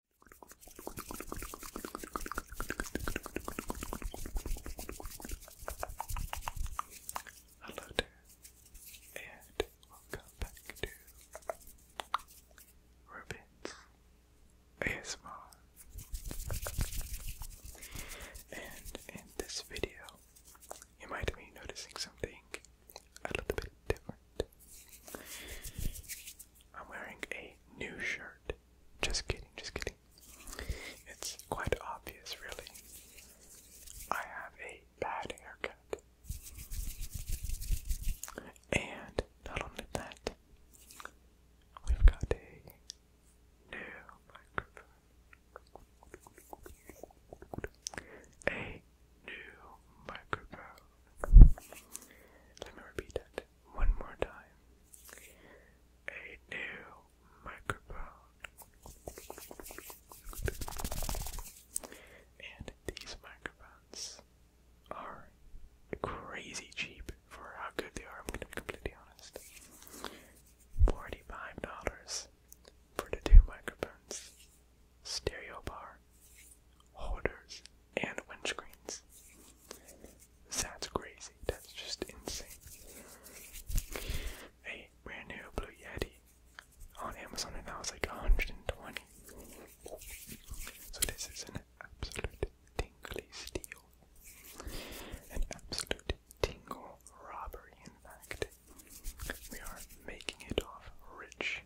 Hello and welcome back to Ruben's ASMR. And in this video, you might be noticing something a little bit different. I'm wearing a new shirt. Just kidding, just kidding. It's quite obvious, really. I have a bad haircut. And not only that, we've got a new microphone. A new microphone. Let me repeat that one more time. A new microphone. And these microphones are crazy cheap for how good they are, I'm gonna be completely honest. $45 for the two microphones. Stereo bar holders, and windscreens. That's crazy. That's just insane. A brand new Blue Yeti on Amazon, and that was like 120. So this is an absolute tingly steal. An absolute tingle robbery, in fact. We are making it off rich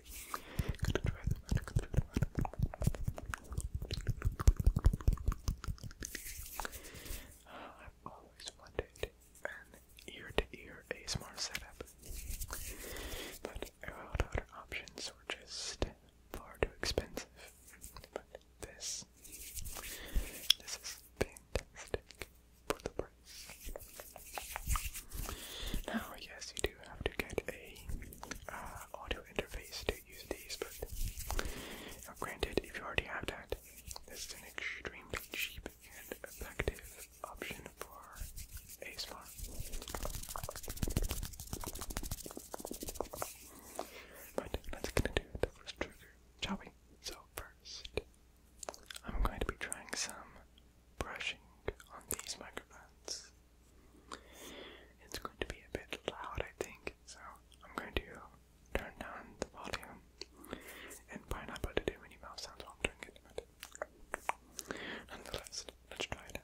I've always wanted an ear-to-ear -ear ASMR setup, but all other options were just far too expensive. But this, this is fantastic for the price. Now, yes, you do have to get a audio interface to use these, but granted, if you already have that, this is an extremely cheap and effective option for ASMR. But let's get into the first trigger, shall we? So first, I'm going to be trying some brushing on these microphones. It's going to be a bit loud, I think, so I'm going to turn down the volume and probably not put to do any mouth sounds while i it, but nonetheless, let's try it out.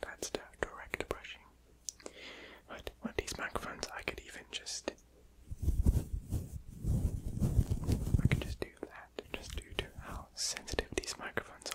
that's the direct brushing. But on these microphones, I could even just, I could just do that, just due to how sensitive these microphones are.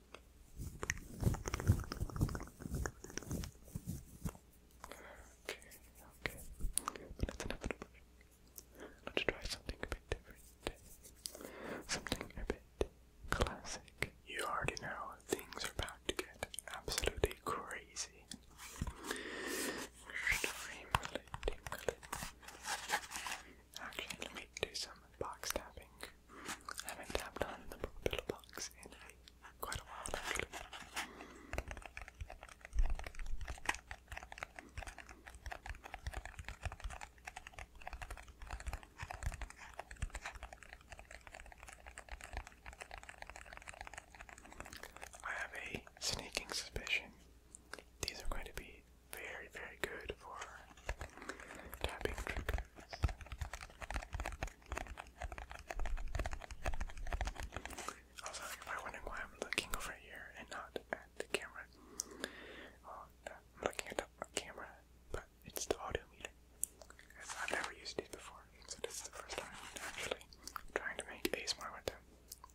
Okay, okay. But it's inevitable. Let's try something a bit different. Something a bit classic. You already know things are about to get absolutely crazy. Extremely, tingly. Actually, let me do some box tapping. I haven't tapped on the little box in quite a while, I have a sneaking suspicion these are going to be very, very good for tapping triggers. Also, if I'm why I'm looking over here and not at the camera, well, I'm looking at the camera, but it's the audio meter. I've never used these before, so this is the first time actually trying to make ASMR with them.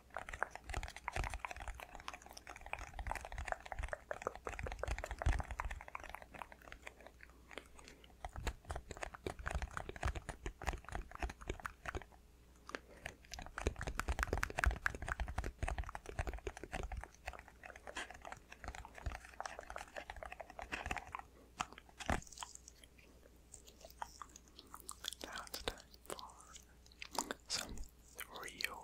Now it's time for some Rio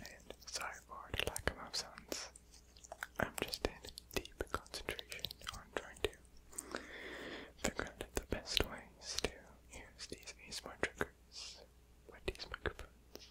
And sorry for the lack of absence. I'm just in deep concentration on trying to figure out the best ways to use these ASMR triggers with these microphones.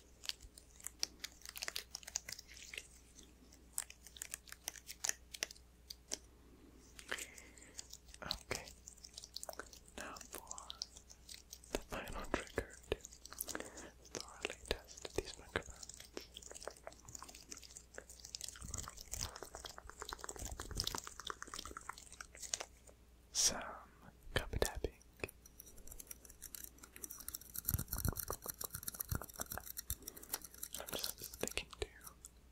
Okay, now for the final trigger to thoroughly test these microphones. Some cup tapping. I'm just sticking to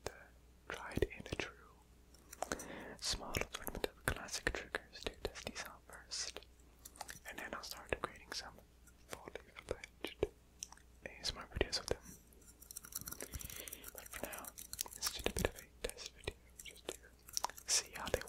the tried and true. Small assortment of classic triggers to test these out first, and then I'll start creating some fully fledged ASMR videos of them. But for now, it's just a bit of a test video, just to see how they work.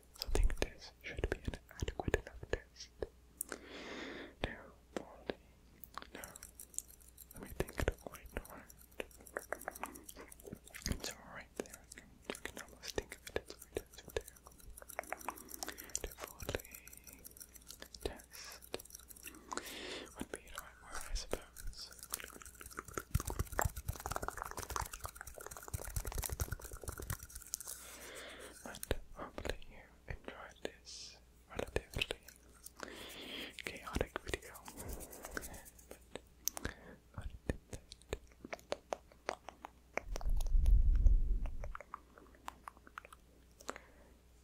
so I should be an adequate enough test. Now, Baldy, now, let me think it quite hard. It's right there, I can, almost think of it, it's right, there. To test would be the right word, I suppose and hopefully you enjoyed this relatively chaotic video.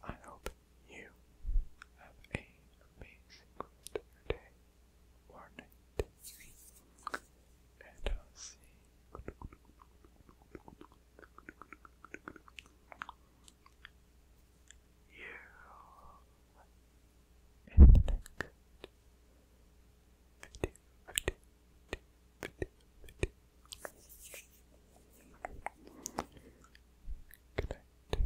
I hope you have a amazing rest of your day or night. And i see you in the next video, video,